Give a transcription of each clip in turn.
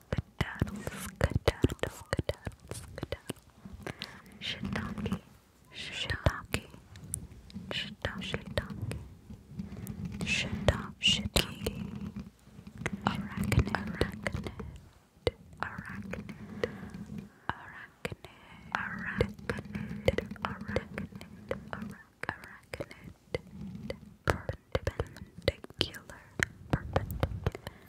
skedaddle, skedaddle, skedaddle, skedaddle. Shiitake, shiitake, shiitake, shiitake, shiitake, shiitake. Arachnid, arachnid, arachnid, arachnid, arachnid, arachnid, arachnid, arachnid, perpendicular, perpendicular.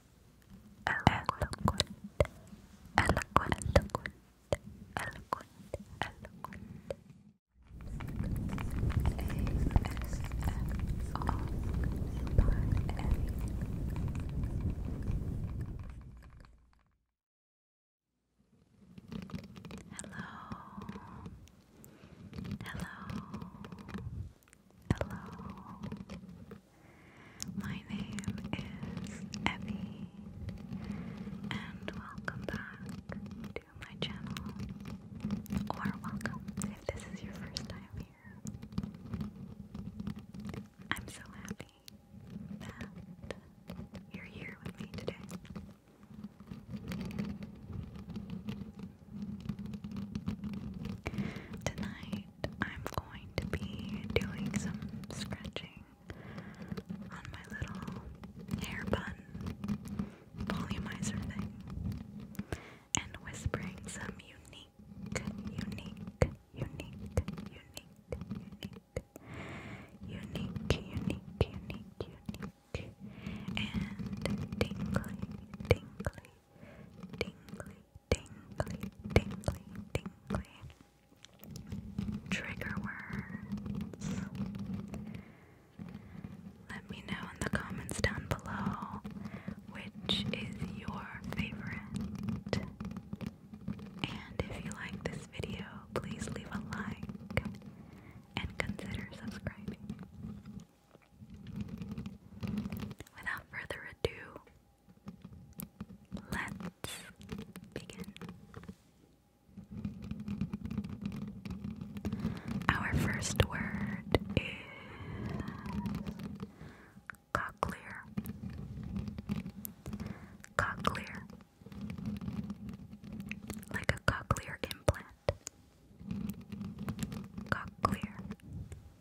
eloquent, eloquent, eloquent, eloquent, eloquent. Hello, hello, Hello. My name is Evie, and welcome back to my channel. Or welcome if this is your first time here. I'm so happy that you're here with me today. Tonight I'm going to be doing some scratching on my little hair bun volumizer thing and whispering some unique, unique, unique, unique, unique, unique, unique, unique, unique, and tingly, tingly, tingly, tingly, tingly, tingly. Trigger words. Let me know in the comments down below which is your favorite. And if you like this video, please leave a like and consider subscribing. Without further ado, let's begin. Our first word is cochlear. Cochlear. Like a cochlear implant. Cochlear.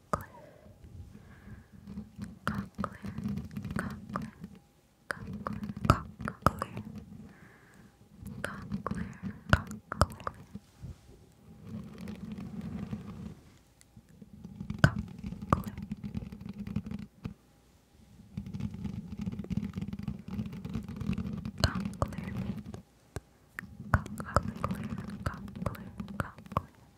Cochlear, cochlear, cochlear, cochlear, cochlear, cochlear, cochlear. Cochlear, cochlear, cochlear, cochlear, cochlear,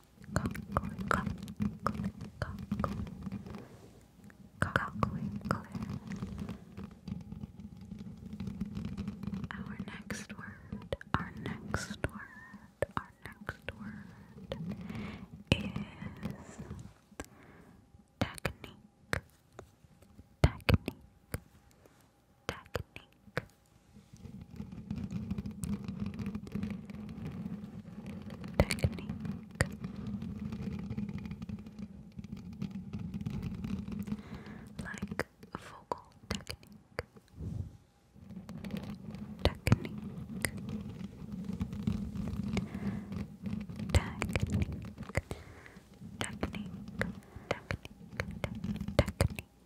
Conquering, conquering, Our next word, our next word, our next word is technique, technique, technique technique like vocal technique technique technique technique technique technique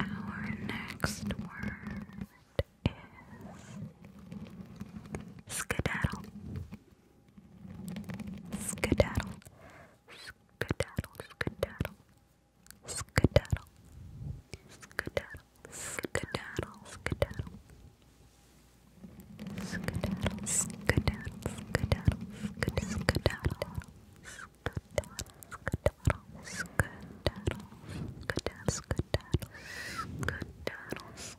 Our next word is skedaddle. Skedaddle, skedaddle, skedaddle, skedaddle, skedaddle, skedaddle, skedaddle, skedaddle, skedaddle, skedaddle, skedaddle, skedaddle, skedaddle, skedaddle, skedaddle, skedaddle, skedaddle,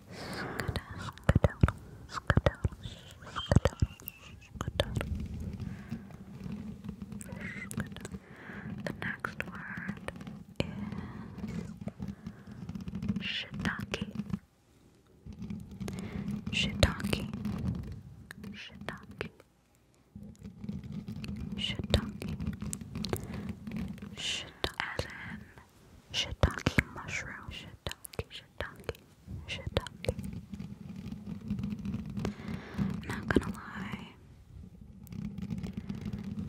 skedaddle, skedaddle, skedaddle, skedaddle, skedaddle. skedaddle. The next word is shiitake. Shiitake. Shiitake. Shiitake. Shiitake. As in shiitake mushroom, shiitake, shiitake, shiitake. Not gonna lie,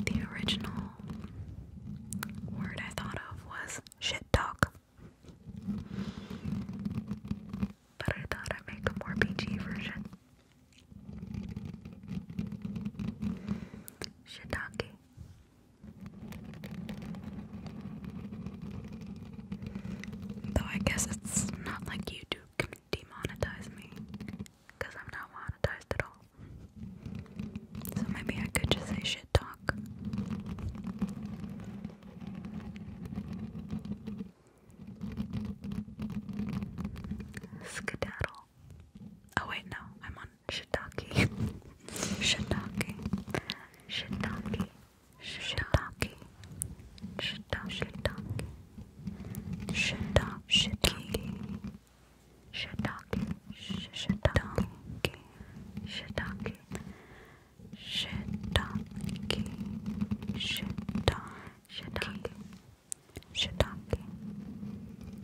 the original word I thought of was shit talk. But I thought I'd make a more PG version. Shiitake, Though I guess it's not like YouTube can demonetize me, because I'm not monetized at all. So maybe I could just say shit talk. Skedaddle. Oh wait, no, I'm on shiitake. shiitake. Shiitake. Shiitake. Shiitake. Shiitake. Shiitake. Shiitake. Shiitake. Shiitake. Shiitake. Shiitake. Shiitake. Shiitake.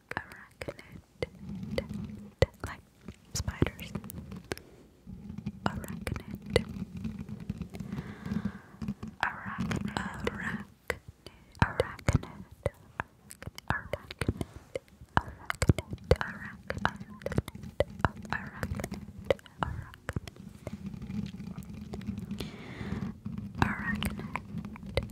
arachnid, like spiders. Arachnid. Arachnid. Arachnid. Arachnid. Arachnid. Arachnid. Arachnid. Arachnid. Arachnid.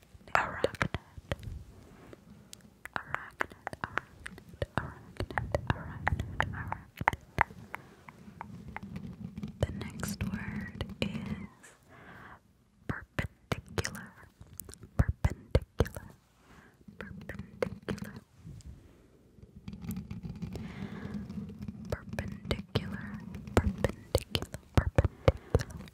Arachnid. Arachnid. Arachnid. Arachnid. Arachnid. The next word is perpendicular. Perpendicular. Perpendicular. Perpendicular. Perpendicular. Perpendicular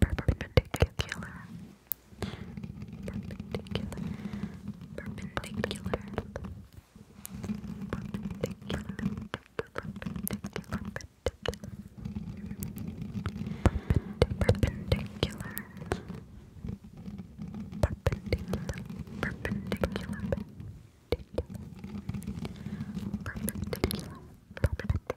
perpendicular, perpendicular, perpendicular, perpendicular, perpendicular. Perpendicular, perpendicular, perpendicular, perpendicular, perpendicular, perpendicular,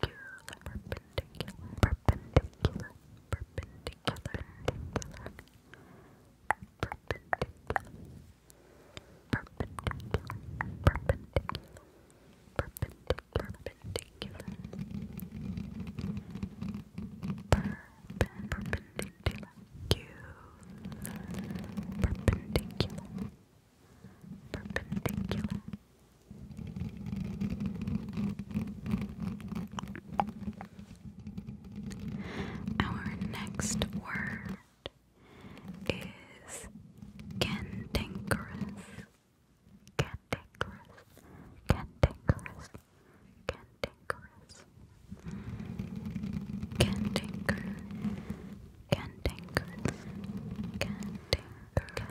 perpendicular, perpendicular, perpendicular, perpendicular, perpendicular, perpendicular, perpendicular, perpendicular, perpendicular, perpendicular, perpendicular. Our next word is cantankerous. Cantankerous. Cantankerous. Cantankerous. Cantanker. Cantankerous. Cantankerous. Can't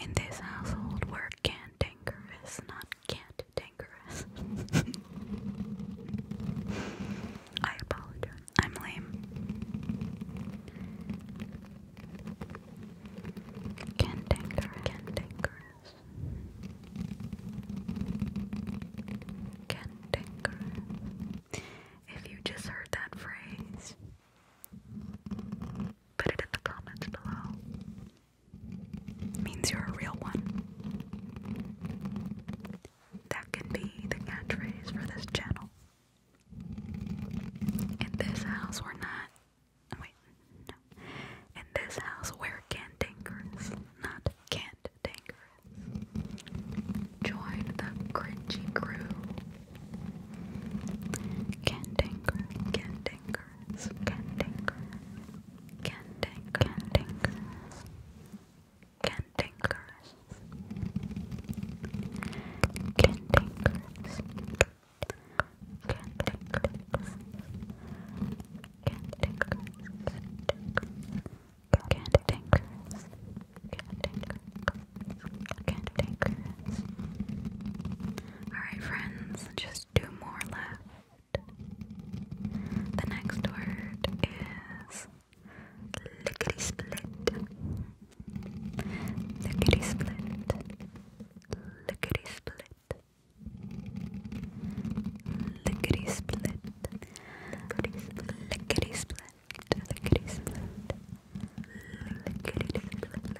In this household, we're cantankerous, not cantankerous. I apologize. I'm lame. Cantanker, cantanker, Cantankerous. If you just heard that phrase, put it in the comments below. means you're a real one. That can be the catchphrase for this channel. In this house, we're not Oh, wait, no. In this house, we're cantankerous, not cantankerous. Join the cringy crew. Cantankerous, cantankerous, cantankerous, cantankerous, cantankerous, cantankerous, cantankerous, cantankerous, can't take risks. Can't take risks. Can't take risks. Can't take risks. Can't take risks. Alright, friends, just two more left. The next word is lickety split. Lickety split. Lickety split. Lickety split. Lickety split. Lickety split. Lickety split. Lickety split.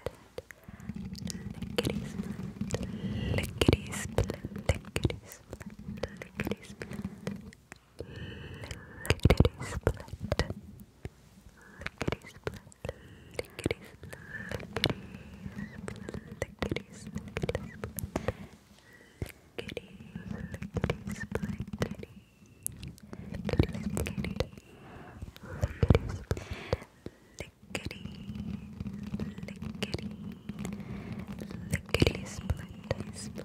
Lickety split. Lickety split. Lickety split. Lickety split. Lickety split. Lickety split. Lickety kitties, kitties, Lickety, lickety, split, lickety, split,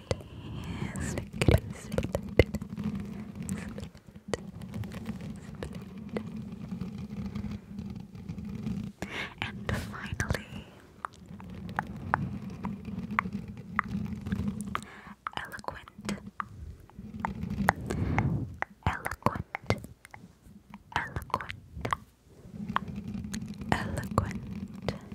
Split, split, And finally, eloquent, eloquent, eloquent, eloquent,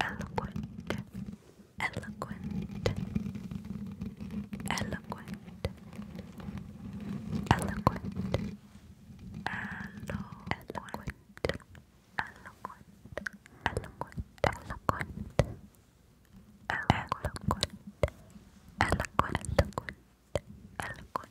eloquent, eloquent, eloquent, eloquent. Elo eloquent, eloquent, eloquent, eloquent, eloquent, eloquent, eloquent, eloquent,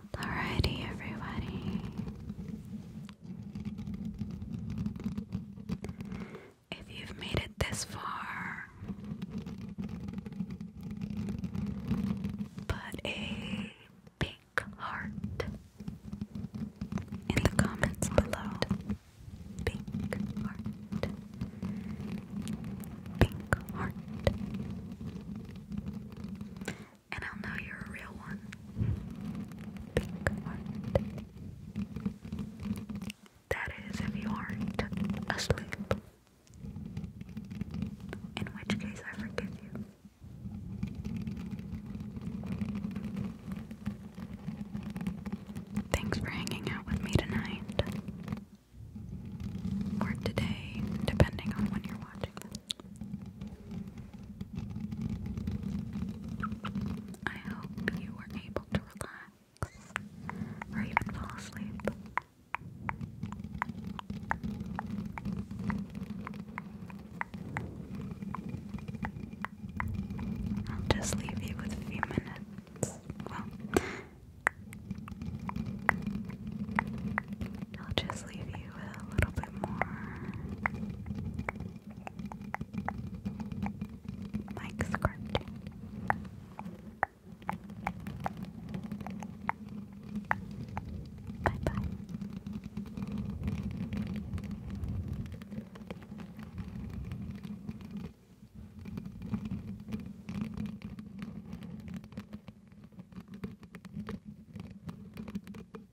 Alrighty, everybody. If you've made it this far, put a big heart in the comments below. Big heart. Big heart and I'll know you're a real one. Pink heart. That is, if you aren't asleep. In which case, I forgive you. Thanks for hanging out with me tonight. Or today, depending on when you're watching this. I hope you were able to relax or even fall asleep. I'll just leave you with a few minutes. Well, I'll just leave you a little bit more like scratching. Bye bye.